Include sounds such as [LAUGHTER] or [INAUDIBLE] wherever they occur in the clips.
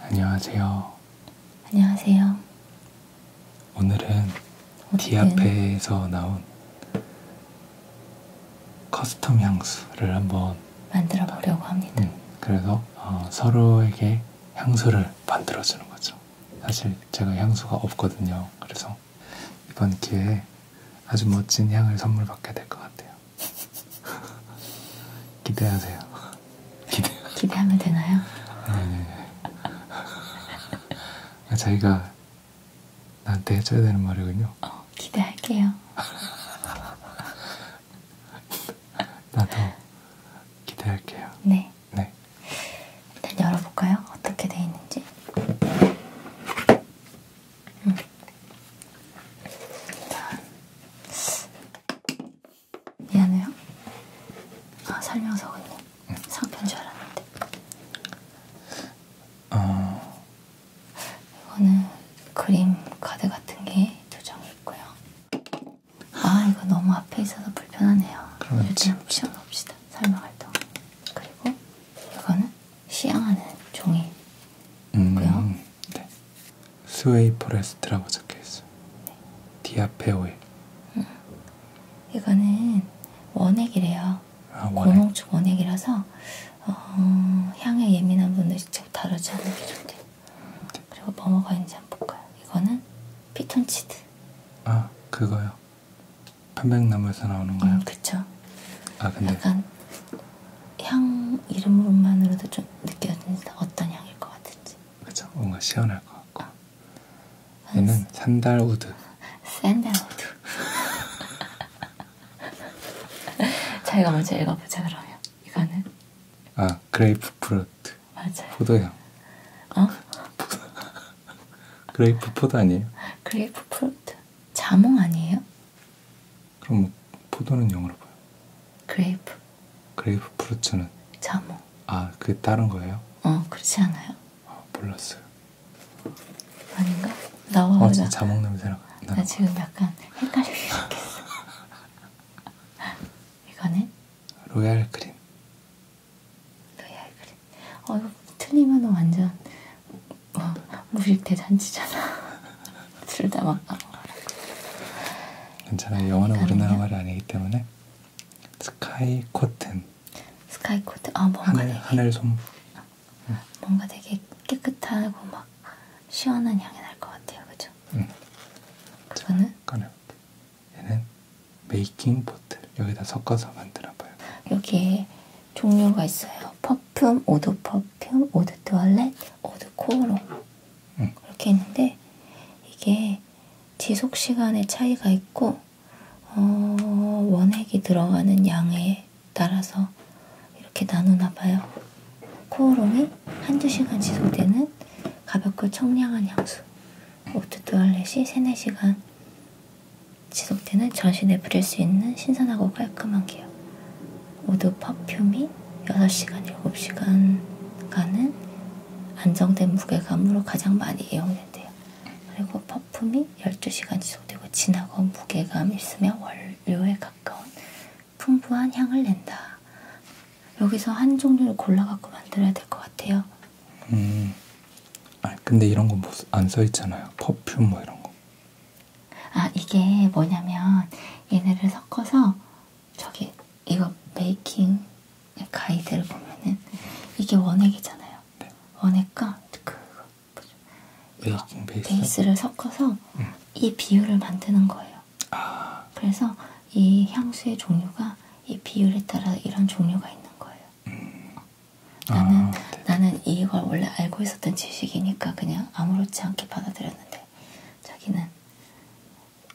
안녕하세요. 안녕하세요. 오늘은 디아페에서 나온 커스텀 향수를 한번 만들어 보려고 합니다. 음, 그래서 어, 서로에게 향수를 만들어 주는 거죠. 사실 제가 향수가 없거든요. 그래서 이번 기회에 아주 멋진 향을 선물 받게 될 것 같아요. [LAUGHS] 기대하세요. 기대. 기대하면 되나요? 네. 네. 자기가 나한테 해줘야 되는 말이군요. 어, 기대할게요. 나도 기대할게요. 네. 네. 일단 열어볼까요? 어떻게 돼 있는지. 음. 일단. 미안해요. 아, 설명서 언니. 응. 상편 줄 알았는데. 어... 이거는 그림 카드 같은 게 두 장 있고요. 아, 이거 너무 앞에 있어서 불편하네요. 일단 치워놓읍시다. 설명할 동안. 그리고 이거는 시향하는 종이고요. 음... 네. 스웨이 포레스트라고 적혀있어요. 네. 디아페 오일. 음. 이거는 원액이래요. 아, 원액. 고농축 원액이라서 어, 향에 예민한 분들 직접 다루지 않는 게 좋대요. 네. 그리고 뭐뭐가 있는지 한번 볼까요? 이거는 피톤치드. 아 그거요? 편백나무에서 나오는 거요? 음, 그쵸. 아 근데 약간 향 이름으로만으로도 좀 느껴진다. 어떤 향일 것 같은지. 그쵸? 뭔가 시원할 것 같고. 얘는 산달우드. 산달우드. [LAUGHS] 자기가 먼저 읽어보자 그러면. 이거는? 아 그레이프 프루트. 맞아요. 포도향. 어? 그레이프 포도 [LAUGHS] 아니에요? 그레이프 프루트. 자몽 아니에요? 그럼 뭐 포도는 영어로 뭐요? 그레이프. 그레이프 프루츠는? 자몽. 아, 그 다른 거예요? 어, 그렇지 않아요? 아, 몰랐어요. 아닌가? 나와 어, 진짜 자몽 냄새 나. 나 지금 약간 헷갈리게 생겼어. [LAUGHS] 이거는? 로얄 크림. 로얄 크림. 어, 이거 틀리면 완전 뭐, 무식 대잔치잖아. [LAUGHS] 둘다 막간 거라. 괜찮아요. 영어는 우리나라 말이 아니기 때문에 스카이 코튼. 스카이 코튼. 아 뭔가 하늘, 되게 하늘 솜. 응. 뭔가 되게 깨끗하고 막 시원한 향이 날 것 같아요, 그죠? 응. 그거는? 꺼내. 얘는 메이킹 보틀. 여기다 섞어서 만들어봐요. 여기에 종류가 있어요. 퍼퓸, 오드 퍼퓸, 오드 투얼렛, 오드 코오롱. 응. 이렇게 있는데 이게 지속 시간의 차이가 있고 어, 원액이 들어가는 양에 따라서 이렇게 나누나 봐요. 코오롱이 한두 시간 지속되는 가볍고 청량한 향수. 오트뚜알렛이 3, 4시간 지속되는 전신에 뿌릴 수 있는 신선하고 깔끔한 기업. 오드 퍼퓸이 6시간, 7시간간은 안정된 무게감으로 가장 많이 이용된대요. 그리고 퍼품이 12시간 지속되고 진하고 무게감 있으면 원료에 가까운 풍부한 향을 낸다. 여기서 한 종류를 골라갖고 만들어야 될 것 같아요. 음, 아 근데 이런 거안 써있잖아요. 퍼퓸 뭐 이런 거. 아 이게 뭐냐면 얘네를 섞어서 저기 이거 메이킹 가이드를 보면은 이게 원액이잖아요. 네. 원액과 그 이거 베이스? 베이스를 섞어서 음. 이 비율을 만드는 거예요. 아. 그래서 이 향수의 종류가 이 비율에 따라 이런 종류가 있는 거예요. 음. 아, 나는 아, 나는 이걸 원래 알고 있었던 지식이니까 그냥 아무렇지 않게 받아들였는데 자기는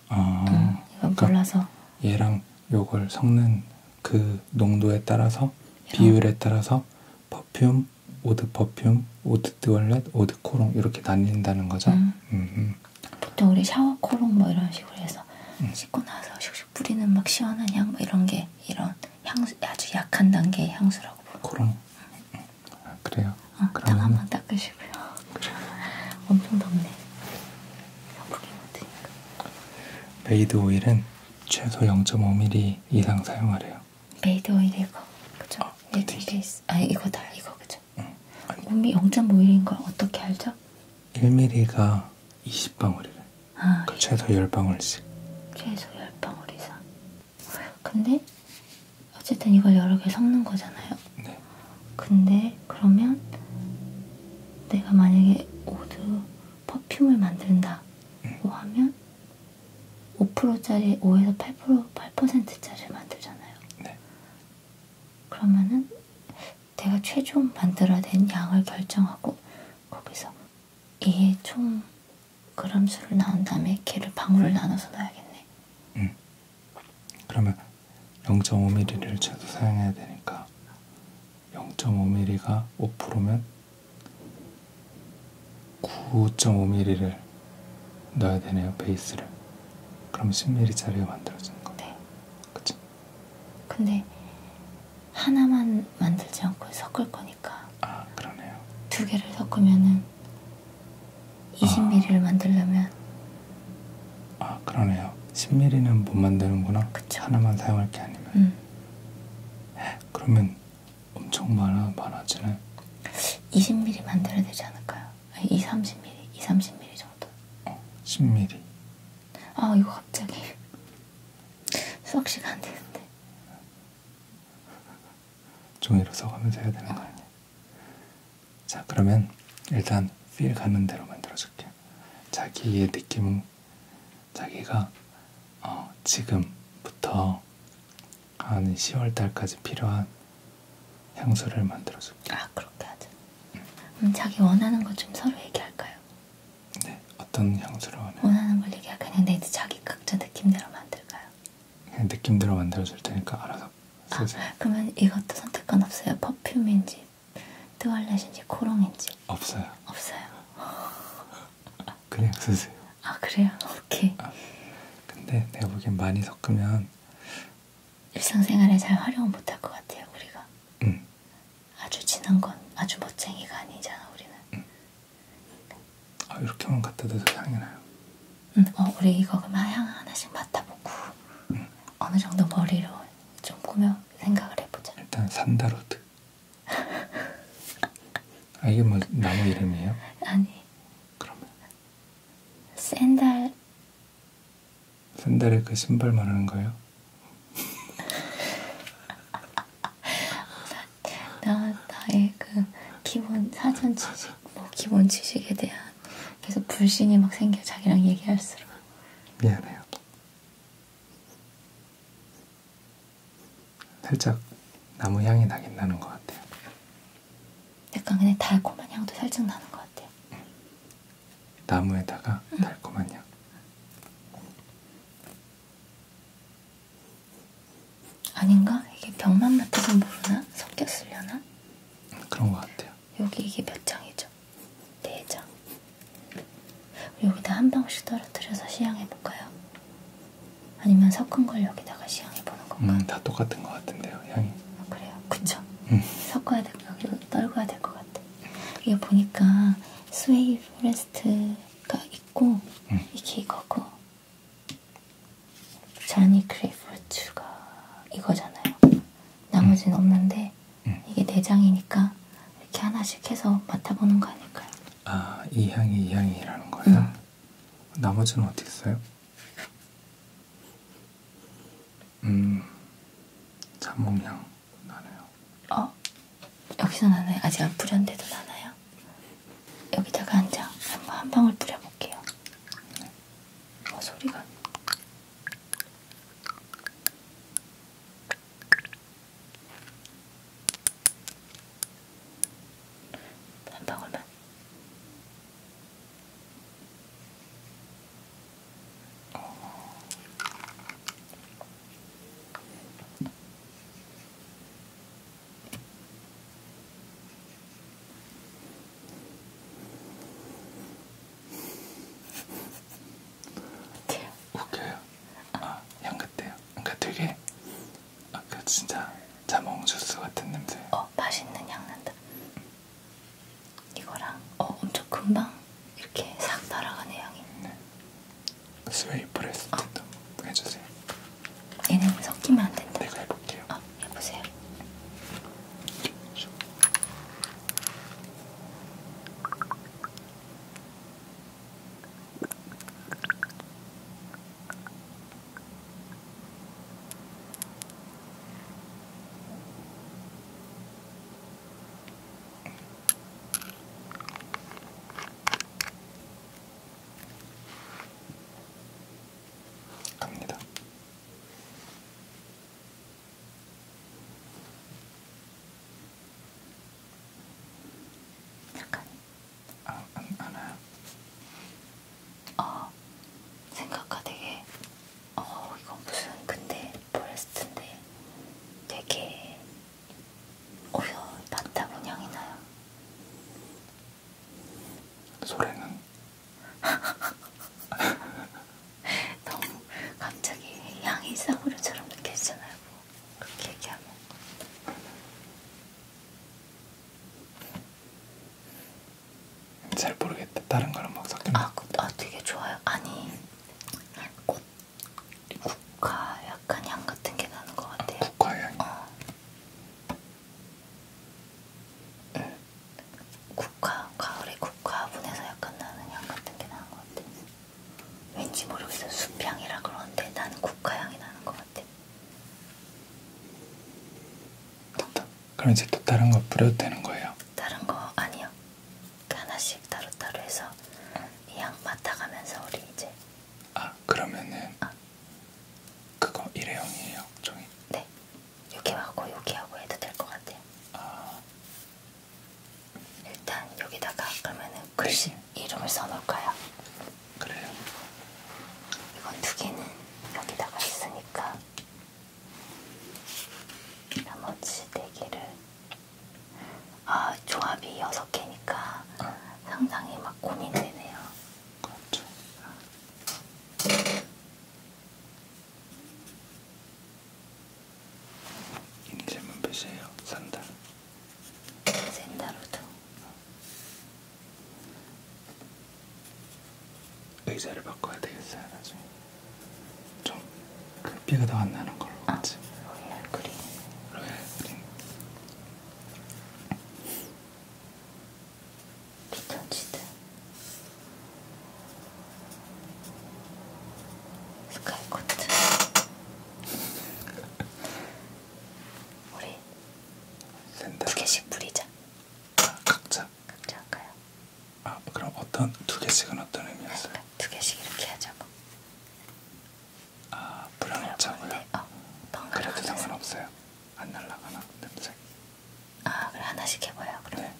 아, 음, 이건 그러니까 몰라서. 얘랑 요걸 섞는 그 농도에 따라서 야. 비율에 따라서 퍼퓸, 오드 퍼퓸, 오드 듀얼렛, 오드 코롱 이렇게 나뉜다는 거죠. 음. 음. 보통 우리 샤워 코롱 뭐 이런 식으로 해서 음. 씻고 나서 슉슉 뿌리는 막 시원한 향 뭐 이런 게 이런 향수 아주 약한 단계의 향수라고 부르 코롱. 음. 아, 그래요? 어, 그럼 한번 닦으시고요. 그래. [LAUGHS] 엄청 덥네. 여부기 못하니까. 메이드 오일은 최소 0.5mm 이상 사용하래요. 메이드 오일 이거 그죠? 아, 베이스. 아 이거 다 이거 그죠? 응. 아니. 몸이 0.5mm인 걸 어떻게 알죠? 1mm가 20방울이래. 아, 그러니까 최소 10방울씩. 최소 10방울 이상. 근데 어쨌든 이걸 여러 개 섞는 거잖아요. 네. 근데 그러면 내가 만약에 오드 퍼퓸을 만든다 고 음. 뭐 하면 5%짜리 5에서 8%, 8%짜리를 만들잖아요. 네. 그러면은 내가 최종 만들어낸 양을 결정하고 거기서 이게 총 그램수를 나온 다음에 걔를 방울을 나눠서 넣어야겠네. 음. 그러면 0.5mm를 최소 사용해야 되니까 0.5mm가 5%면 9.5mm를 넣어야 되네요 베이스를 그럼 10mm짜리가 만들어지는 거네 요 네. 그치? 근데 하나만 만들지 않고 섞을 거니까 아 그러네요 두 개를 섞으면은 20mm를 아. 만들려면 아 그러네요 10mm는 못 만드는구나 그쵸. 하나만 사용할 게 아니면 음. 그러면 엄청 많아, 많아지네 20mm 만들어야 되지 않을까요? 아니, 2, 30mm, 2, 30mm 정도 어, 10mm 아 이거 갑자기 [LAUGHS] 수학 시간 되는데 종이로 써가면서 해야 되는 거 아니야? 자, 그러면 일단 feel 가는 대로 만들어줄게요. 자기의 느낌은 자기가 어, 지금부터 한 10월 달까지 필요한 향수를 만들어줄게요. 아, 그렇게 하자. 응. 그럼 자기 원하는 거 좀 서로 얘기할까요? 네, 어떤 향수를 원해요? 원하는 걸 얘기할까요? 근데 이제 자기 각자 느낌대로 만들까요? 그냥 느낌대로 만들어줄 테니까 알아서. 아, 그러면 이것도 선택권 없어요? 퍼퓸인지 트월렛인지 코롱인지? 없어요. 없어요. [LAUGHS] 그냥 쓰세요. 아 그래요? 오케이. 아, 근데 내가 보기엔 많이 섞으면 일상생활에 잘 활용을 못할 것 같아요 우리가. 응. 아주 진한 건 아주 멋쟁이가 아니잖아 우리는. 응. 아 이렇게만 갖다 대도 향이 나요. 응, 어, 우리 이거 그럼 향 하나씩 맡아보고 응. 어느 정도 머리로 좀 꾸며 생각을 해보자. 일단 산다로드. 아 이게 뭐 나무 이름이에요? 아니. 그러면 샌달. 샌달의 그 신발 말하는 거예요? 나 나의 그 기본 사전 지식, 뭐 기본 지식에 대한. 계속 불신이 막 생겨 자기랑 얘기할수록 미안해요. 살짝 나무 향이 나긴 나는 것 같아요. 약간 그냥 달콤한 향도 살짝 나는 것 같아요. 응. 나무에다가 응. 달콤한 향. 아닌가? 이게 병만 맡아서 모르나? 섞였으려나? 그런 것 같아요. 여기 이게 몇 장이죠? 네 장. 여기다 한 방씩 떨어뜨려서 시향해 볼까요? 아니면 섞은 걸 여기다가 시향해 보는 건가? 음, 다 똑같은 것 같은데요, 향이. 아, 그래요, 그쵸? 음. 섞어야 될 여기도 떨궈야 될 것 같아. 이게 보니까 스웨이 포레스트가 있고 음. 이게 이거고 자니 크레이프루트가 이거잖아요. 나머지는 음. 없는데 음. 이게 내장이니까 네 이렇게 하나씩 해서 맡아보는 거 아닐까요? 아, 이 향이 이 향이라는 거예요? 음. 나머지는 어떻게 써요? 음, 자몽향 나네요. 어? 여기서 나나요? 아직 안 뿌렸는데도 나나요? 여기다가 한 장, 한 방울 뿌려볼게요. 아, 소리가. 한 방울만. 어. 돼요. 웃겨요. 아, 향긋해요. 그러니까 되게 아까 그 진짜 자몽 주스 같은 냄새. 어, 맛있는 향 난다. 이거랑 어 엄청 금방 이렇게 싹 날아가는 향이. 네. 스웨이 프레스 어. 해주세요. 얘는 섞이면 안 된다. 내가 해볼게요. 어. 해보세요. 갑니다. 약간 아, 안, 알아요? 어, 생각가 되게 어, 이건 무슨 근데 포레스트인데 되게 오히려 바타고냥이 나요. 소래는 [LAUGHS] 너무 갑자기 양이 싸구려처럼 느껴지잖아요. 뭐. 그렇게 얘기하면. 잘 모르겠다. 다른 거랑 막 섞여. 아, 그, 아, 되게 좋아요. 아니, 꽃 국화 약간 향 같은 게 나는 것 같아요. 아, 국화 향. 어. 응. 국화, 가을에 국화분에서 약간 나는 향 같은 게 나는 것 같아. 왠지 모르겠어. 숲향이라 그러는데 나는 국화향이 나는 것 같아. 그럼 이제 또 다른 거 뿌려도 되는 거예요? 다른 거 아니요. 하나씩 따로따로 해서 이 향 맡아가면서 우리 이제 아 그러면은 아. 그거 일회용이에요 종이? 네 여기 하고 여기 하고 해도 될 것 같아요. 어. 일단 여기다가 그러면은 글씨 이름을 써놓을까요? 그래요. 이건 두 개는 여기다가 있으니까 나머지 네 개를 아 조합이 여섯 개니까 어. 상당히 막 고민되네요. 그렇죠. 이니셜만 표시해요. 산다. 산다로도. 의자를 바꿔야 되겠어요 나중에. 좀 햇빛이 그 더안 나는 걸로 아, 같이. 로얄 그린. 로얄 그린. 피톤치드 스카이코트 우리 두 개씩 뿌리자 아, 각자? 각자 할까요? 아 그럼 어떤 두 개씩은 어떤 의미였어요? 그러니까 두 개씩 이렇게 하자고 아 불안하자고요? 어, 그래도 상관없어요? 안 날라가나? 냄새? 아 그래 하나씩 해봐요 그러면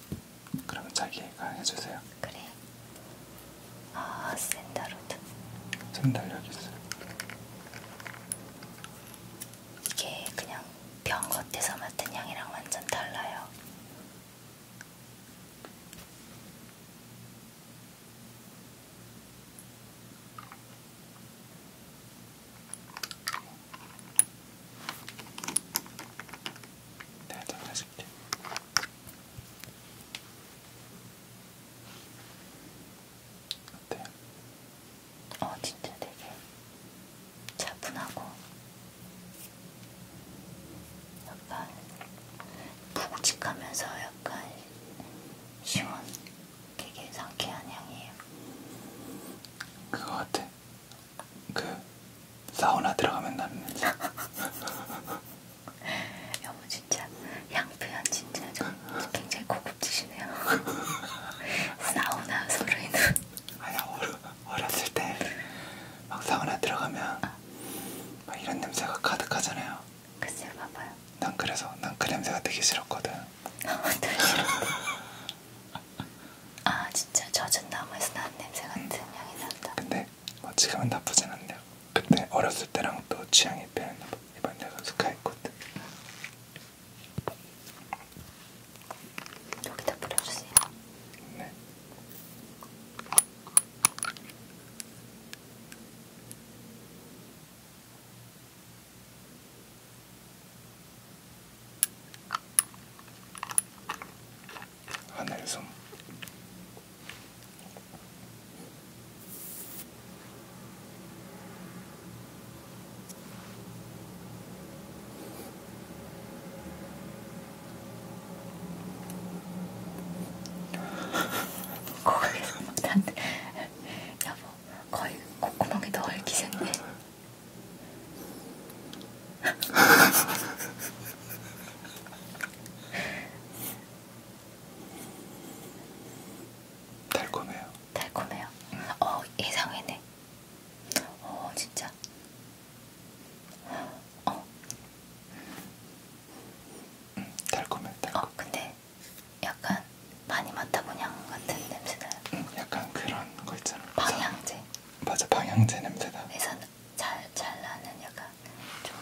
네. 그러면 자기가 해주세요 그래 아 샌다로드 샌달력 있어요 이게 그냥 병 겉에서 맡은 향이랑 완전 달라요 내가 장난칠게. 어때? 어, 진짜 되게 차분하고 약간 묵직하면서 약간 시원, 되게 상쾌한 향이에요. 그거 같아. 그 사우나 들어가면 나는 [LAUGHS] 여보 진짜 향 표현 진짜 좀 굉장히 고급지시네요. [LAUGHS] 사우나 소리는 아니야 어렸을 때막 사우나 들어가면 아. 막 이런 냄새가 가득하잖아요. 글쎄요 봐봐요. 난 그래서 난그 냄새가 되게 싫었거든. [LAUGHS] 되게 싫었어. 아 진짜 젖은 나무에서 난 냄새 같은 음. 향이 난다. 근데 뭐 지금은 나쁘진 않네요. 그때 어렸을 때랑 또 취향이 변했나 봐. 이번 내가 스카이코트. 여기다 뿌려주세요. 네. 하늘섬 거의 못한데 여보 거의 콧구멍에 넣을 기세인데 [LAUGHS] 달콤해요. 달콤해요. 응. 어 예상외네. 어 진짜. 어. 응, 달콤해. 달콤해. 어 근데 약간 많이 맡아보냐 같은 냄새나요. 응, 약간 그런 거 있잖아. 방향제. 맞아 방향제 냄새다. 회사 잘, 잘 나는 약간 좀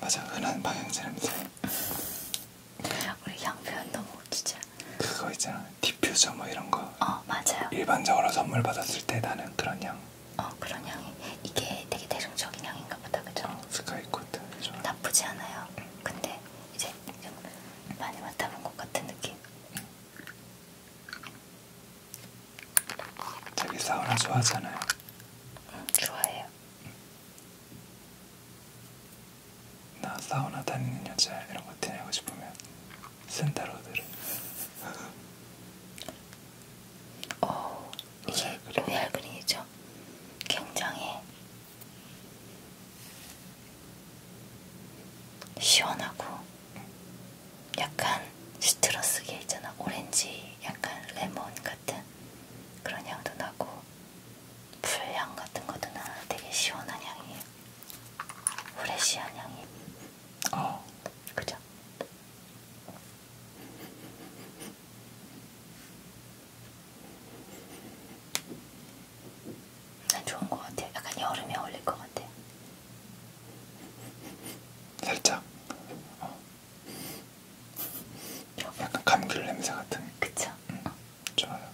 맞아 흔한 방향제 냄새. 우리 향 표현 너무 진짜. 그거 있잖아 디퓨저 뭐 이런 거. 어 맞아요. 일반적으로 선물 받았을 때 나는 그런 향. 어 그런 향이 이게 되게 대중적인 향인가 보다 그죠? 어, 스카이코트 나쁘지 않아요. 근데 이제 좀 많이 맡아본 것 같은 느낌. 응. 되게 사우나 좋아하잖아요. 응, 좋아해요. 나 사우나 다니는 여자 이런 거 티내고 싶으면 센타로들은 [LAUGHS] 어, 이게 로얄 그린이죠. 굉장히 시원하고 약간 시트러스계 있잖아 오렌지 약간 레몬 같은 그런 향도 나고 풀향 같은 것도 나 되게 시원한 향이에요 후레시한 향이 어 그죠? 난 좋은 것 같아요. 약간 여름에 어울릴 것 같아. 살짝. 어. 약간 감귤 냄새 같은. 그쵸. 응. 음, 어. 좋아요.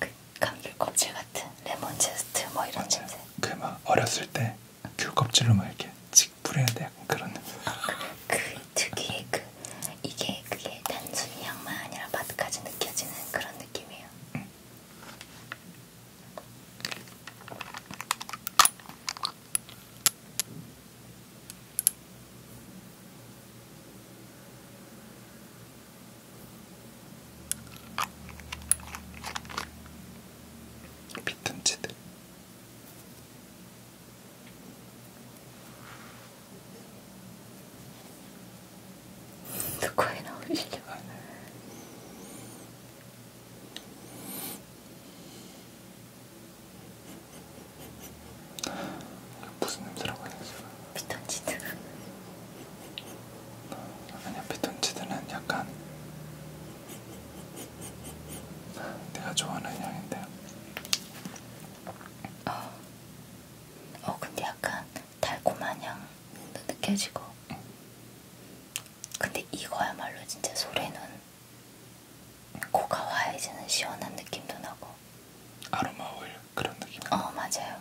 그 감귤 껍질 같은 레몬 제스트 뭐 이런 맞아요. 냄새. 그막 어렸을 때 귤 껍질로 막 이렇게 칙 뿌려야 돼. 약간 그런 냄새. 어, 그, 그 특유의 그 이게 그게 단순히 향만 아니라 맛까지 느껴지는 그런 느낌이에요. 응. 음. 비튼치드 누구에 나오시죠? 무슨 냄새라고 해야 되지? 피톤치드 아니야 피톤치드는 약간 내가 좋아하는 향인데 어, 어 근데 약간 달콤한 향도 느껴지고 근데 이거야말로 진짜 소래눈 코가 와해지는 시원한 느낌도 나고 아로마 오일 그런 느낌? 어 맞아요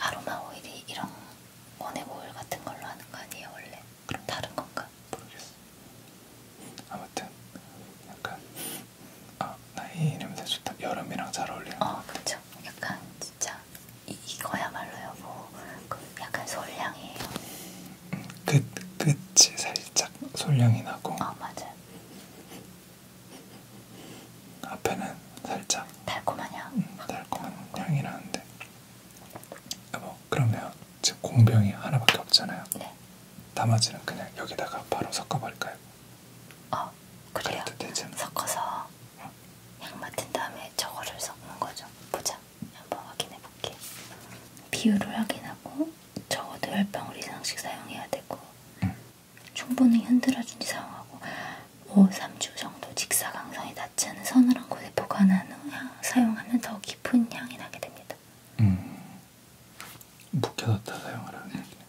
아로마 오일이 이런 원액 오일 같은 걸로 하는 거 아니에요 원래? 그럼 다른 건가? 모르겠어 아무튼 약간 아, 나이 이름 되게 좋다 여름이랑 잘 어울리는 어 그쵸 약간 진짜 이, 이거야말로 여보 뭐, 그 약간 솔향이에요 끝, 끝이 살짝 솔향이 나고 어 아, 맞아 앞에는 살짝 달콤한 향 음, 달콤한 향이 나는데 여보 아, 뭐, 그러면 지금 공병이 하나밖에 없잖아요 네 나머지는 그냥 여기다가 바로 섞어버릴까요? 어 그래요 섞어서 향 맡은 다음에 저거를 섞는 거죠. 보자. 한번 확인해 볼게. 비율을 확인하고 적어도 10방울 이상씩 사용해야 되고 충분히 흔들어준지 사용하고 5, 3주 정도 직사광선이 닿지 않은 서늘한 곳에 보관한 후 사용하면 더 깊은 향이 나게 됩니다. 음, 묵혀뒀다 사용하라는 얘기네.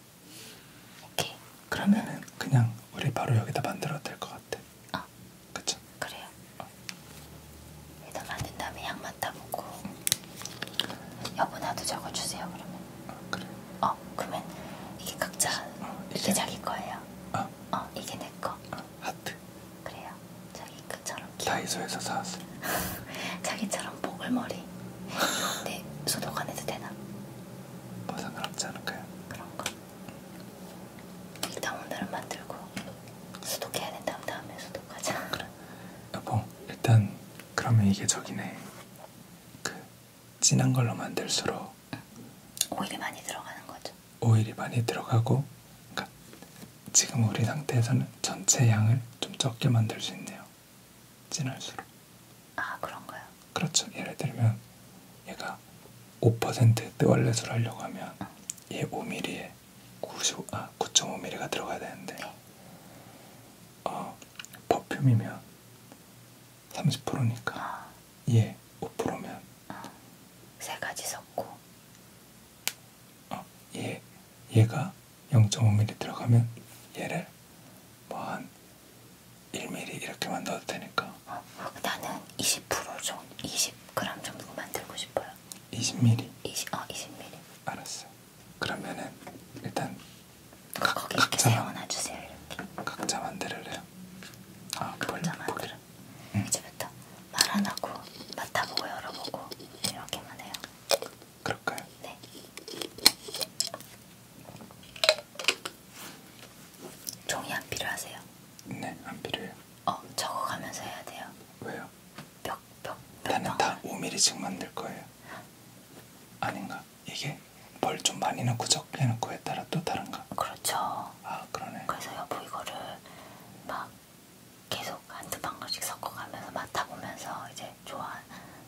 오케이. 그러면은 그냥 우리 바로 여기다 만들어도 될 것 같아. 아, 어. 그쵸? 그래요. 어. 일단 만든 다음에 양만 따보고 여분화도 적어주세요. 그러면. 어, 그래. 어, 그러면 이게 각자 어, 이게, 이게 자기 거예요. 어, 어 이게 내 거. 어, 하트. 그래요. 자기 그처럼. 다이소에서 사왔어. [LAUGHS] 자기처럼 보글머리. [LAUGHS] 내 소독 안 해도 되나? 뭐 상관없지 않을까요? 그런가? 일단 오늘은 만들고 소독해야 된다면 다음에 소독하자 그래 여보 일단 그러면 이게 저기네 그 진한 걸로 만들수록 응. 오일이 많이 들어가는 거죠? 오일이 많이 들어가고 그러니까 지금 우리 상태에서는 전체 양을 좀 적게 만들 수 있네요 진할수록 아 그런가요? 그렇죠. 예를 들면 얘가 5% 뜨월렛을 하려고 하면 응. 얘 5mm에 90, 아 9.5mm가 들어가야 되는데 네. 어, 퍼퓸이면 30%니까 아. 얘 5%면 아. 세 가지 섞고 어, 얘 얘가 0.5mm 들어가면 얘를 뭐한 1mm 이렇게만 넣어도 되니까. 어, 나는 20% 정도, 20g 정도 만들고 싶어요. 20mm? 20, 어, 20mm. 알았어. 그러면은 일단 그 각, 거기 이렇게 세워놔 주세요. 이렇게. 각자 만들래요. 아, 각자 아, 만들. 응. 이제부터 말안 하고 맡아보고 열어보고 이렇게만 해요. 그럴까요? 네. 종이 안 필요하세요? 네, 안 필요해요. 어, 적어가면서 해야 돼요. 왜요? 몇, 몇, 몇 나는 방? 다 5mm씩 만들 거예요. 아닌가? 이게 뭘좀 많이 넣고 적게 넣고에 따라 또 다른가? 그렇죠. 아, 그러네. 그래서 여보 이거를 막 계속 한두 방울씩 섞어가면서 맡아보면서 이제 좋아,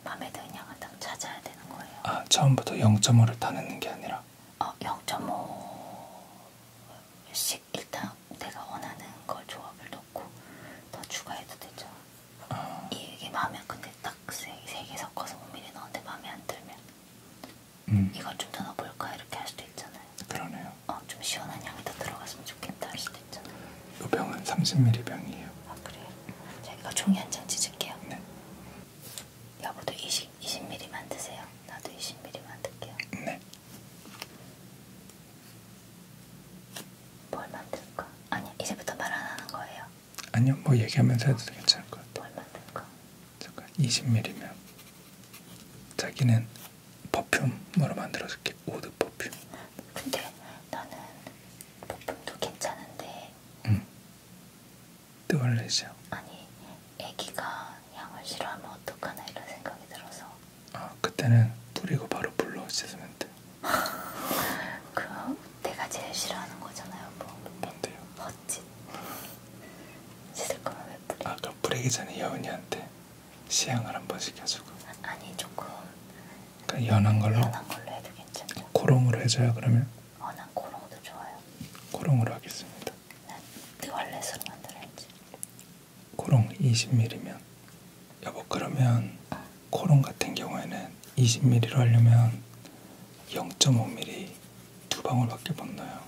마음에 드는 양을 딱 찾아야 되는 거예요. 아, 처음부터 0.5를 다 넣는 게 아니라 어, 0.5씩 일단 내가 원하는 걸 조합을 넣고 더 추가해도 되죠. 어. 이게 마음에 근데 딱세개 섞어서 5mm 넣었는데 마음에 안 들면 음. 이걸 좀더 넣어볼까 이렇게 할 수도 있잖아요. 그러네요. 어, 좀 시원한 향이 더 들어갔으면 좋겠다 할 수도 있잖아요. 이 병은 30mm 병이에요. 아 그래요? 제가 이거 종이 한 장 찢을게요. 네. 여보도 20, 20mm만 드세요. 나도 20mm만 드게요. 네. 뭘 만들까? 아니 이제부터 말안 하는 거예요. 아니요, 뭐 얘기하면서 해도 괜찮을 것 같아요. 뭘 만들까? 잠깐 20mm면 자기는 퍼퓸으로 만들어줄게. 우드 퍼퓸. 근데 나는 퍼퓸도 괜찮은데 음. 또할래죠 아니, 애기가 향을 싫어하면 어떡하나 이런 생각이 들어서. 아, 그때는 뿌리고 바로 불러 씻으면 돼. [LAUGHS] 그럼 내가 제일 싫어하는 거잖아요, 뭐. 뭔데요? 헛짓. 씻을 거면 왜 뿌리? 아까 뿌리기 전에 여은이한테 시향을 한번 시켜주고. 아니, 조금. 그러니까 연한 걸로. 연한 걸로 해도 괜찮죠. 고롱으로 해줘요, 그러면? 어, 난 고롱도 좋아요. 고롱으로 하겠습니다. 난 느월렛으로 만들어야지. 고롱 20mm면 여보 그러면 어. 고롱 같은 경우에는 20mm로 하려면 0.5mm 두 방울밖에 못 넣어요.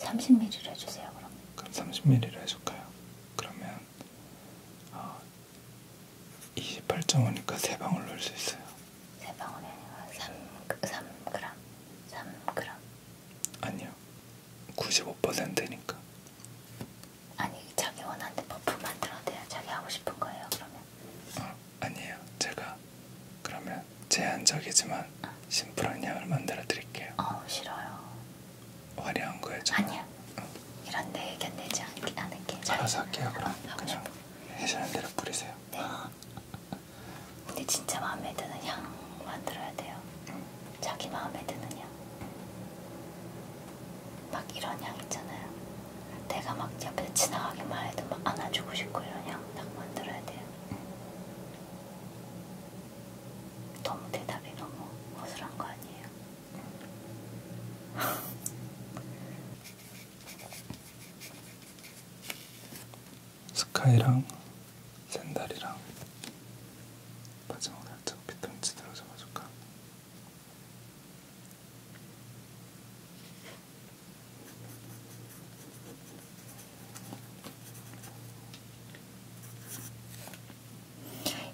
30mm로 해주세요 그럼. 그럼 30mm로 해줄까요? 그러면 어, 28.5니까 3방울 넣을 수 있어요. 3방울이 아니라 3, 3g? 3g? 아니요. 95%니까. 아니 자기 원하는 버프 만들어내야 자기 하고 싶은 거예요 그러면? 어, 아니에요. 제가 그러면 제한적이지만 어. 심플한 양을 만들어 드릴게요. 어 싫어요. 화려한 거예요. 아니야. 어. 이런데 견내지 않게 하는 게. 알아서 할게요 그럼. 아, 그냥. 해시는 대로 뿌리세요. 네. 근데 진짜 마음에 드는 향 만들어야 돼요. 응. 자기 마음에 드는 향. 막 이런 향 있잖아요. 내가 막 옆에 지나가기만 해도 막 안아주고 싶고 이런 향 딱 만들어야 돼요. 응. 너무 대답이 너무 허술한 거 아니에요? 응. [LAUGHS] 스카이랑 샌달이랑 바지막 살짝 피톤치드로 잡아줄까?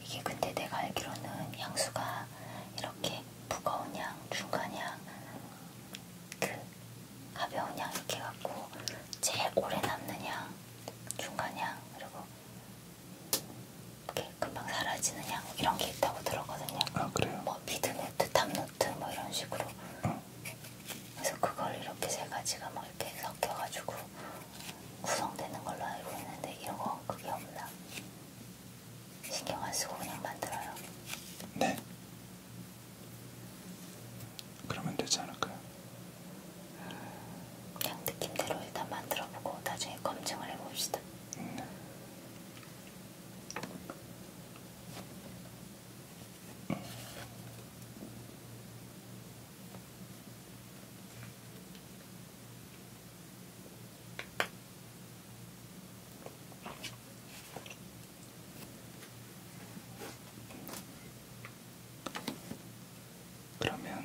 이게 근데 내가 알기로는 향수가 이렇게 이렇게 무거운 양, 중간 양, 그 가벼운 양 이렇게 갖고 제일 오래 남는 양, 중간 양, 그리고 이렇게 금방 사라지는 양 이런 게 있다고 들었거든요. 아 그래요? 뭐 미드노트, 탑노트 뭐 이런 식으로. 응. 그래서 그걸 이렇게 세 가지가 막 이렇게 섞여가지고 구성되는 걸로 알고 있는데 이런 거 그게 없나? 신경 안 쓰고 그냥 만들어요. 네. 그러면 되지 않을까요? 음, 그냥 느낌대로 일단 만들어보고 나중에 검증을 해봅시다. 네. 음. 그러면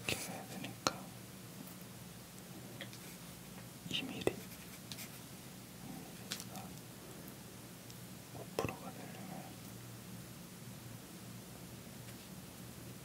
이렇게 해야 되니까 2mm 5%가 되려면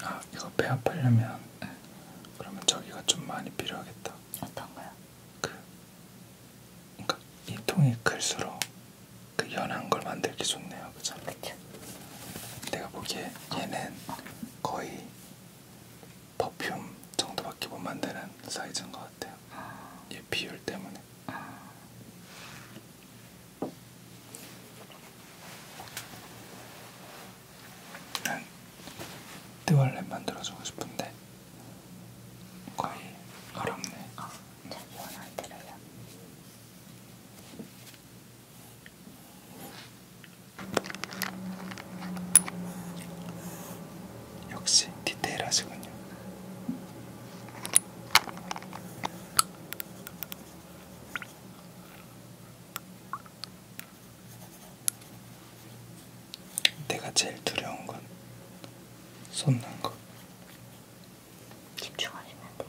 아, 이거 배합하려면 응. 그러면 저기가 좀 많이 필요하겠다. 어떤 거요? 그, 그러니까 이 통이 클수록 그 연한 걸 만들기 좋네요, 그죠? 그렇죠. 내가 보기에 얘는 어. 거의 퍼퓸 정도밖에 못 만드는 사이즈인 것 같아요. 아. 얘 비율 때문에. 아. 난 띠월렛 만들어주고 싶은데 거의 어렵네. 어, 자기 원안 들어요. 역시 디테일하시군요. 내가 제일 두려운 건 손난 것. 집중하시면 돼요.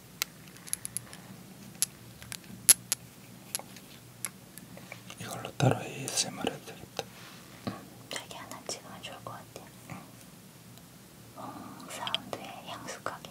이걸로 따로 ASMR 해도 되겠다. 자기 하나 찍으면 좋을 것 같아. 응. 어, 음, 사운드에 향숙하게.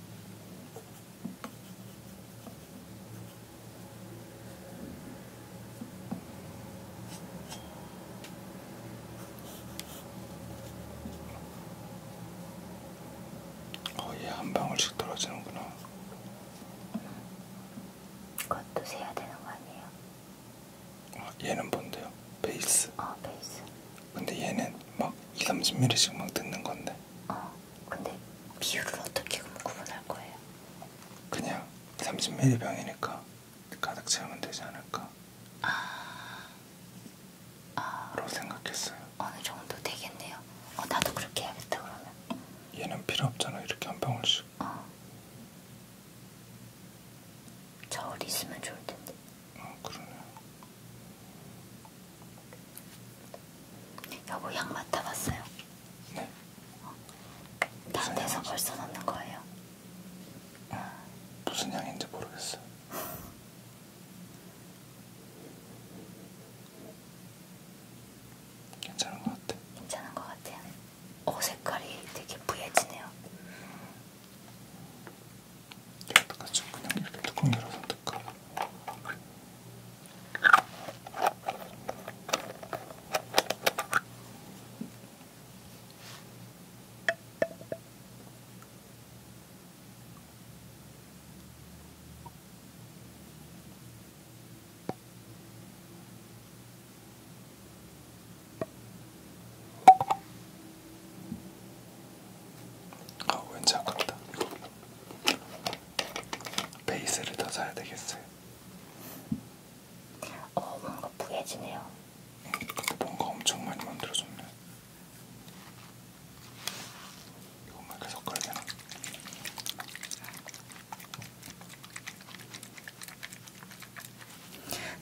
거의 한 방울씩 떨어지는구나. 그것도 세야 되는 거 아니에요? 아, 얘는 뭔데요? 베이스? 어, 베이스. 근데 얘는 막 2, 30ml씩 막 듣는 건데. 어. 근데 비율을 어떻게 구분할 거예요? 그냥 30ml 병이니까 가득 채우면 되지 않을까? 아. 아. 라고 생각했어요. 어느 정도 되겠네요. 어, 나도 그렇게 해야겠다 그러면. 얘는 필요 없잖아. 이렇게 한 방울씩. 어. 저울 있으면 좋을 텐데. 아, 그러네요. 여보 향 맡아봤어요? 네. 어? 다 돼서 벌써 넣는 거예요? 응. 무슨 향인지 모르겠어. 괜찮은 것 같아. 괜찮은 것 같아요. 옷 색깔이 되게 부해지네요. 똑같이 그냥 이렇게 뚜껑 열어서 뜯고 아 왠지 아깝다. 베이스를 더 사야 되겠어요. 어 뭔가 부해지네요. 응, 근데 뭔가 엄청 많이 만들어줬네. 이것만 이렇게 섞어야 되나?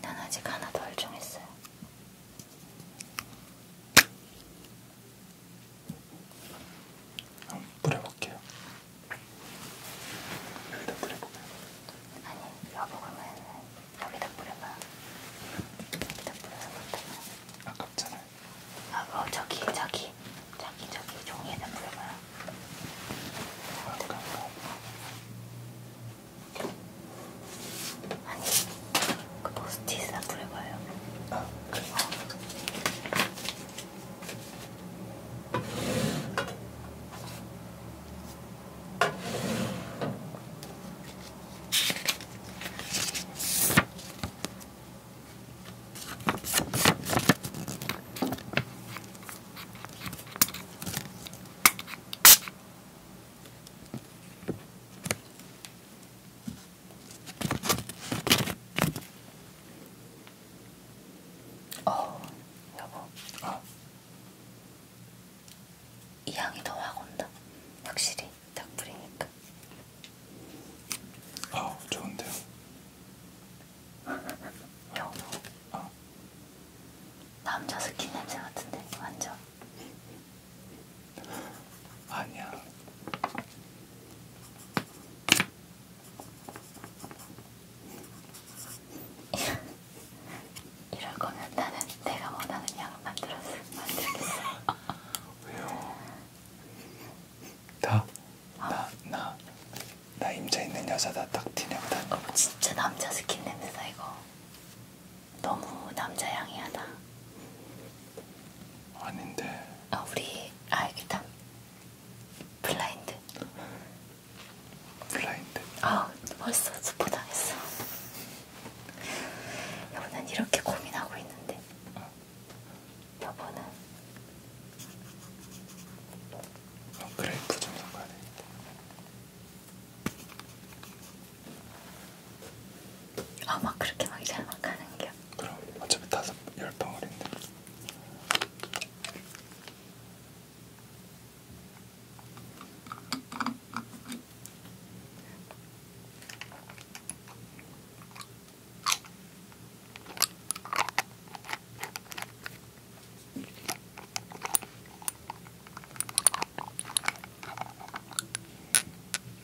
난 아직 하나 덜 정했어요. 한번 뿌려볼게요. 여기다 뿌려볼까요? 아니, 여보 그러면 여기다 뿌려봐. 여기다 뿌려서 못하면 아깝잖아요. 아, 어, 저기, 저기, 저기, 저기 종이에다 뿌려봐요. 아깝다. 아니, 그 포스트잇이나 뿌려봐요. 아, 그래. 어. 어, 여보. 어. 이 향이 더 확 온다. 확실히 딱 뿌리니까. 어, 좋은데요. [LAUGHS] 여보. 어. 남자 스킨 냄새 같은데 완전. 아니야. 이럴 거면 나는 내가 원하는 양을 만들었어. 만들겠어. 왜요? 나, 어? 나, 나, 나 임자 있는 여자다. 딱 티내고 다. 어, 진짜 남자 스킨 냄새다 이거. 너무 남자 향이하다. 아닌데. 아 우리 아이기탐 블라인드. 블라인드. 아 벌써 스포당했어. 여보는 이렇게 고민하고 있는데. 어. 여보는. 어, 그래, 그좀 상관해. 아마 그렇게 막 잘만 가는 게. 그럼 어차피 다섯 열 덩어리인데.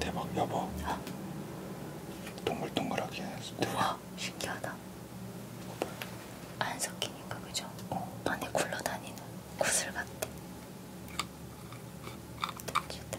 대박 여보 어? 동글동글하게 우와 신기하다 안 섞이니까 그죠? 어. 안에 굴러다니는 구슬 같아 땡기다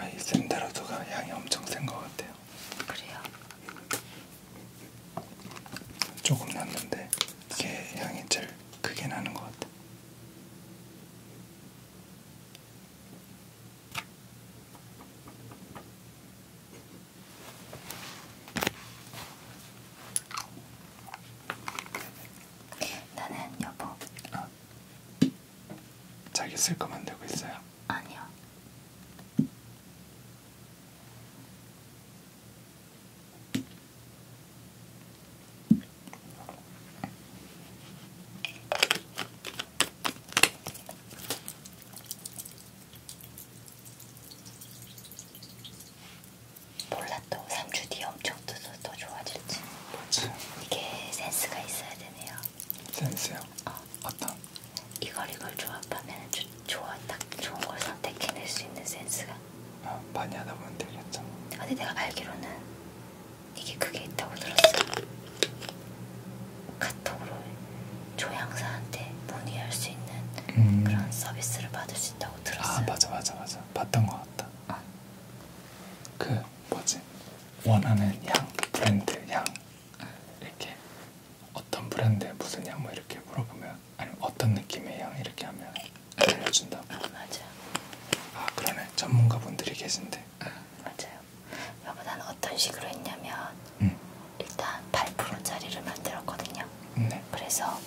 아이 샌드로드가 향이 엄청 센 것 같아요. 그래요? 조금 났는데 이게 향이 제일 크게 나는 것 같아. 나는 여보. 어. 자기 쓸 거 만들고 있어요? 아니요. 몰라 또 3주 뒤에 엄청 뜨서 더 좋아질지. 그렇지. 이게 센스가 있어야 되네요. 센스요? 어. 어떤? 이걸 이걸 조합하면 조, 좋아 딱 좋은 걸 선택해낼 수 있는 센스가. 아, 많이 하다 보면 되겠죠. 근데 내가 알기로는 이게 그게 있다고 들었어. 카톡으로 조향사한테 문의할 수 있는 음. 그런 서비스를 받을 수 있다고 아, 들었어요. 아 맞아 맞아 맞아 봤던 것 같다. 어. 그 뭐지 원하는 향 브랜드 향 응. 이렇게 어떤 브랜드 무슨 향뭐 이렇게 물어보면 아니면 어떤 느낌의 향 이렇게 하면 알려준다. 아 맞아. 아 그러네 전문가분들이 계신데. 음, 맞아요. 여보다는 어떤 식으로 했냐면 음. 일단 8%짜리를 만들었거든요. 네. 그래서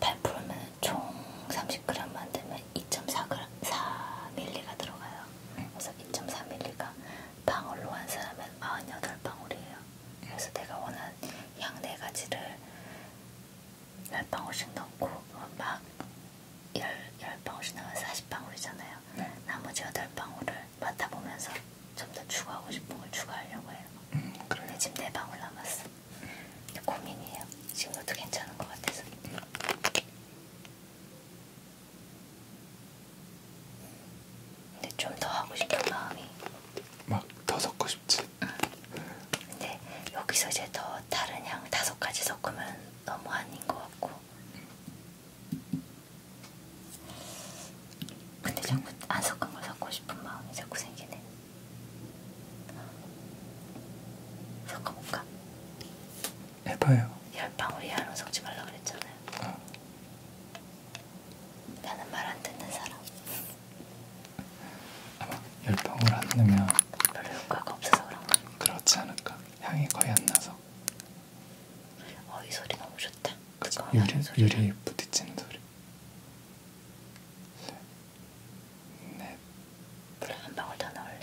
8%면 총 30g 만들면 2.4ml가 들어가요. 음. 그래서 2.4ml가 방울로 한 사람은 48방울이에요. 그래서 내가 원하는 양네 가지를 몇 방울씩 넣고 막 10방울씩 나면 40방울이잖아요. 네. 나머지 8방울을 맡아보면서 좀 더 추가하고 싶은 걸 추가하려고 해요. 음, 그래요? 근데 지금 4방울 남았어. 근데 고민이에요. 지금 것도 괜찮은 것 같아서. 근데 좀 더 하고 싶은 마음이 막 더 섞고 싶지. 응. 근데 여기서 이제 더 다른 향 다섯 가지 섞으면 너무 아닌 것 같고 근데 자꾸 안 섞은 걸 섞고 싶은 마음이 자꾸 생기네. 섞어볼까? 해봐요. 열방울 이하로 섞지 말라 그랬잖아요. 어. 나는 말 안 듣는 사람. 아마 열방울 안 넣으면 별로 효과가 없어서 그런가? 그렇지 않을까? 향이 거의 안 나서. 어이 소리 너무 좋다. 그치, 유리, 유리 부딪히는 소리. 네. 그래 한 방울 더 넣을래.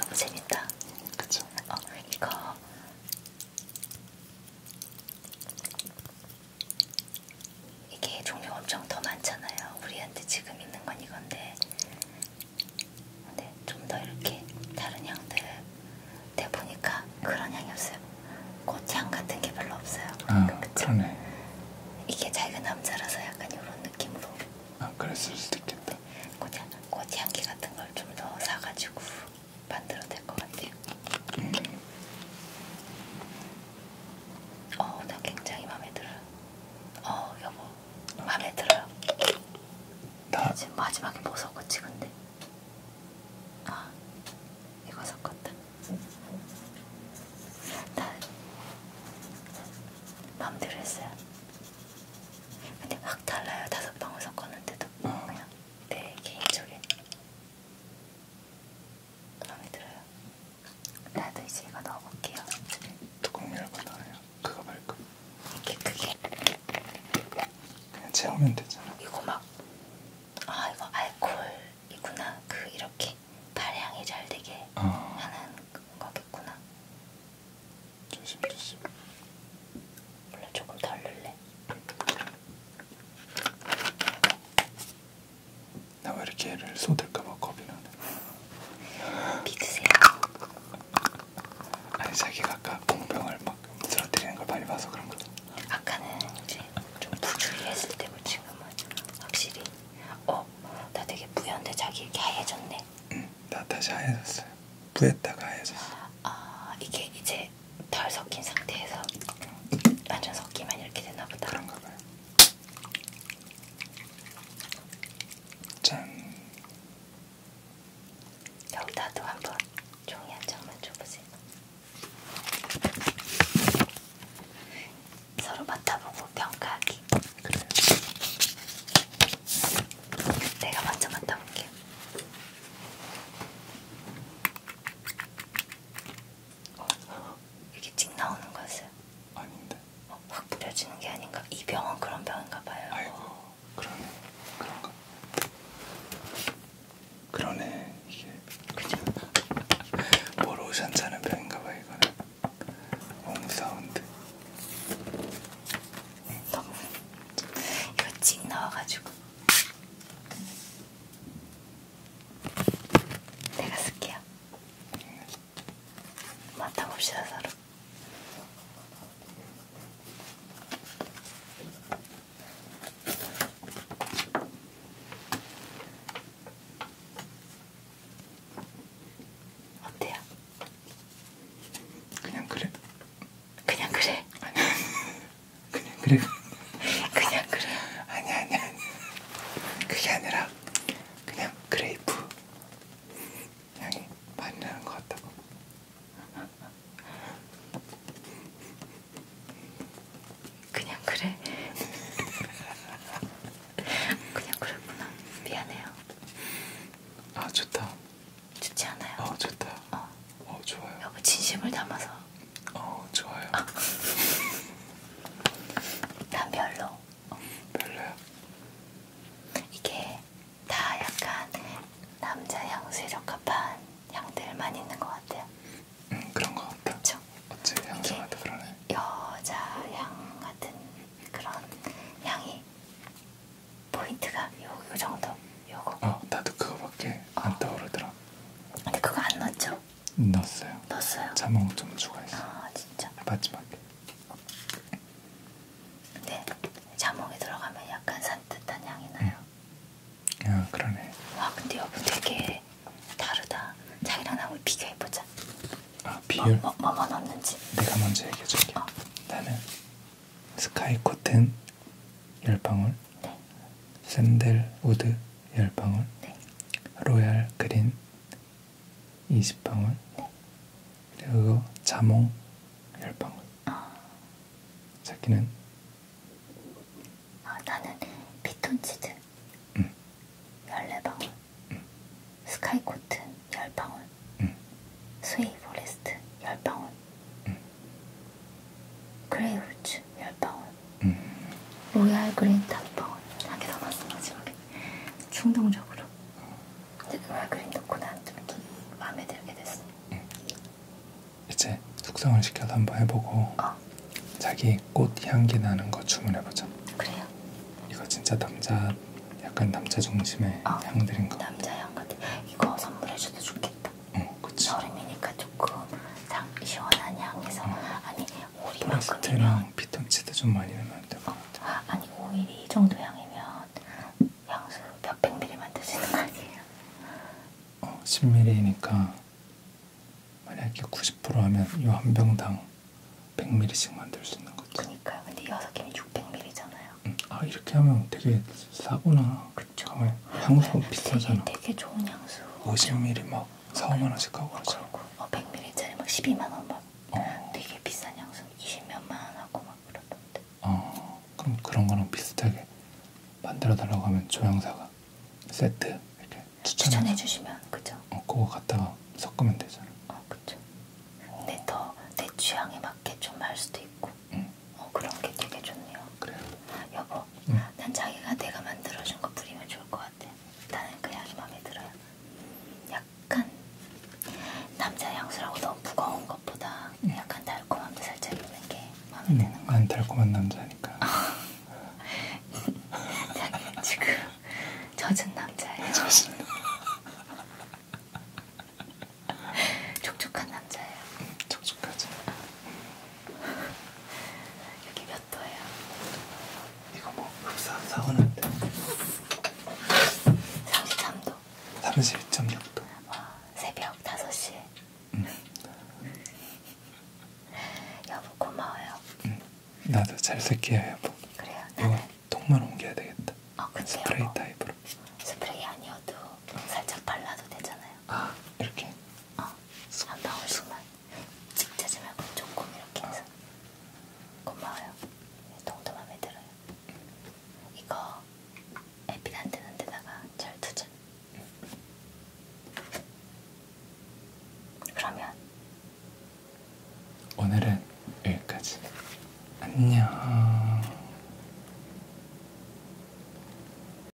너무 재밌다. 그쵸? 어, 이거 이게 종류 엄청 더 많잖아요. 우리한테 지금 있는 건 이건데, 근데 좀 더 이렇게 다른 향들 내 보니까 그런 향이 없어요. 꽃향 같은 게 별로 없어요. 아, 그러니까 아, 그쵸? 그러네. 이게 자기가 남자라서 약간 이런 느낌으로. 아, 그랬을 수도 있겠다. 네. 꽃향, 꽃향기 같은 걸 좀 더 사가지고. 만들어도 될 것 같아요. 음. 어, 나 굉장히 마음에 들어요. 어, 여보, 마음에 들어요. 나... 지금 마지막에 뭐 섞었지, 근데? 아, 이거 섞었다. 나 마음대로 했어요. 근데 확 달라요. 다섯 방울 섞었는데도 어. 그냥 내 개인적인 마음에 들어요? 나도 이제 이거 넣어볼게요. 뚜껑 열고나와요 그거 말고. 이렇게 크게. 그냥 채우면 되잖아. 이거 막, 아 이거 알코올이구나. 그 이렇게 발향이 잘 되게 어. 하는 거겠구나. 조심 조심. 원래 조금 덜 넣을래. 음. 나왜 이렇게 애를 쏟을까봐 겁이 나네. 믿으세요. 아니 자기가 아까 공병을 막 쓰러뜨리는 걸 많이 봐서 그런 거죠. 아까는 이제 좀 부주의했을 때고 지금은 확실히 어? 나 되게 뿌연데 자기 이렇게 하얘졌네. 응, 나 다시 하얘졌어요. 뿌였다가 하얘졌어. 아 이게 이제 이렇게 덜 섞인 상태에서 완전 섞이면 이렇게 되나 보다. 그런가 봐요. 짠. 여기다도 한번 종이 한 장만 줘보세요. 서로 맡아보고 평가하기. 그래. 내가 먼저 맡아볼게요. 어. 이렇게 찍 나오는 것은? 아닌데. 어, 확 뿌려지는 게 아닌가? 이 병원 그런 병인가 봐요. 아이고, 그러네. 그런가? 그러네. 이게 그죠? 모로션 [LAUGHS] 차는 병인가 봐 이거는. 홈 사운드. 너무 이거 찍 나와가지고. 제가 쓸게요. 맡아봅시다, 서로. 어때요? 그냥 그래. 그냥 그래. [LAUGHS] 그냥 그래. 그냥 그래. 아니 아니 아니. 그게 아니라 그냥 그레이프 향이 많이 나는 것 같다고. 그냥 그래. 그냥 그랬구나. 미안해요. 아 좋다. 좋지 않아요? 어 좋다. 어. 어 좋아요. 여보 진심을 담아서. 어 좋아요. 아. 난 별로. 어. 별로야. 이게 다 약간 남자 향수에 적합한 향들만 있는 것 같아요. 음 그런 것 같아. 그렇죠. 어째 향수한테 그러네. 여자 향 같은 그런 향이 포인트가 요, 요 정도. 요거. 어, 나도 그거밖에 어. 안 떠오르더라. 근데 그거 안 넣었죠? 넣었어요. 넣었어요. 자몽 좀 추가했어. 아 진짜. 마지막에. 근데 자몽이 들어가면 약간 산뜻한 향이 나요. 응. 야 아, 그러네. 와 근데 여보 되게 다르다. 자기랑 나랑 비교해 보자. 아 비율? 뭐, 뭐, 뭐 넣었는지. 내가 먼저 얘기해줄게. 어. 나는 스카이 코튼 열 방울. 네. 샌들우드 10방울 네. 로얄 그린 20방울 네. 그리고 자몽 10방울 아. 자기는? 아, 나는 피톤치드 응. 음. 14방울 응. 음. 스카이코튼 10방울 응. 음. 스웨이 포레스트 10방울 응. 그레이홀츠 10방울 음. 로얄 그린 5방울 하게 담았어 마지막에 충동적으로 근데 로얄 그린 넣고 난좀 마음에 들게 됐어 음. 이제 숙성을 시켜서 한번 해보고 어. 자기 꽃 향기 나는 거 주문해보자 그래요? 이거 진짜 남자 약간 남자 중심의 어. 향들인 거 남자 향 같아 이거 선물해줘도 좋겠다 응, 그치. 여름이니까 조금 상, 시원한 향에서 응. 아니 오리만큼이랑 피톤치드 좀 많이 넣으면 안될것 같아. 어, 아니 오일이 이 정도 향이면 향수 몇백 미리 만드시는 거 아니에요? 어, 10ml니까 만약에 90% 하면 이 한 병당 100ml씩 만들 수 있는 거지. 그니까요. 근데 여섯 개면 600ml잖아요. 응. 음, 아 이렇게 하면 되게 싸구나. 그쵸. 가만히. 향수 네, 비싸잖아. 되게, 되게 좋은 향수. 50ml 막 4, 5만 원씩 하고 그러잖아. 어, 100ml짜리 막 12만 원 막. 어. 되게 비싼 향수 20몇만 원 하고 막 그러던데. 어, 그럼 그런 거랑 비슷하게 만들어 달라고 하면 조향사가 세트 이렇게 추천해 주시면 그죠? 어, 그거 갖다가 섞으면 되잖아. 어, 그죠. 근데 어. 더내 취향에 맞게 좀 할 수도 있고. 응. 어, 그런 게 되게 좋네요. 그래요? 여보, 응. 난 자기가 내가 만들어준 거 뿌리면 좋을 것 같아. 나는 그 향이 마음에 들어요. 약간 남자 향수라고 너무 무거운 것보다 응. 약간 달콤함도 살짝 있는 게 마음에 응. 드는 거. 난 달콤한 남자니까. [LAUGHS] 자기는 지금 젖은 남자예요. [LAUGHS] 젖은 촉촉한 남자예요. 촉촉하죠. 여기 몇 도예요? 이거 뭐 흡사 사원한데 33도 32.6도 와, 새벽 5시 응. [LAUGHS] 여보 고마워요 응. 나도 잘 쓸게요 여보 그래요? 나는 통만 옮겨야 되겠다 어, 근데요, 스프레이 뭐, 타입으로 스프레이 아니어도 살짝 발라도 되잖아요 아 이렇게? 어한 방울씩만 직 짜지 말고 조금 이렇게 해서 고마워요 동도 맘에 들어요 이거 에피안 뜨는 데다가 잘 두자 그러면 오늘은 여기까지 안녕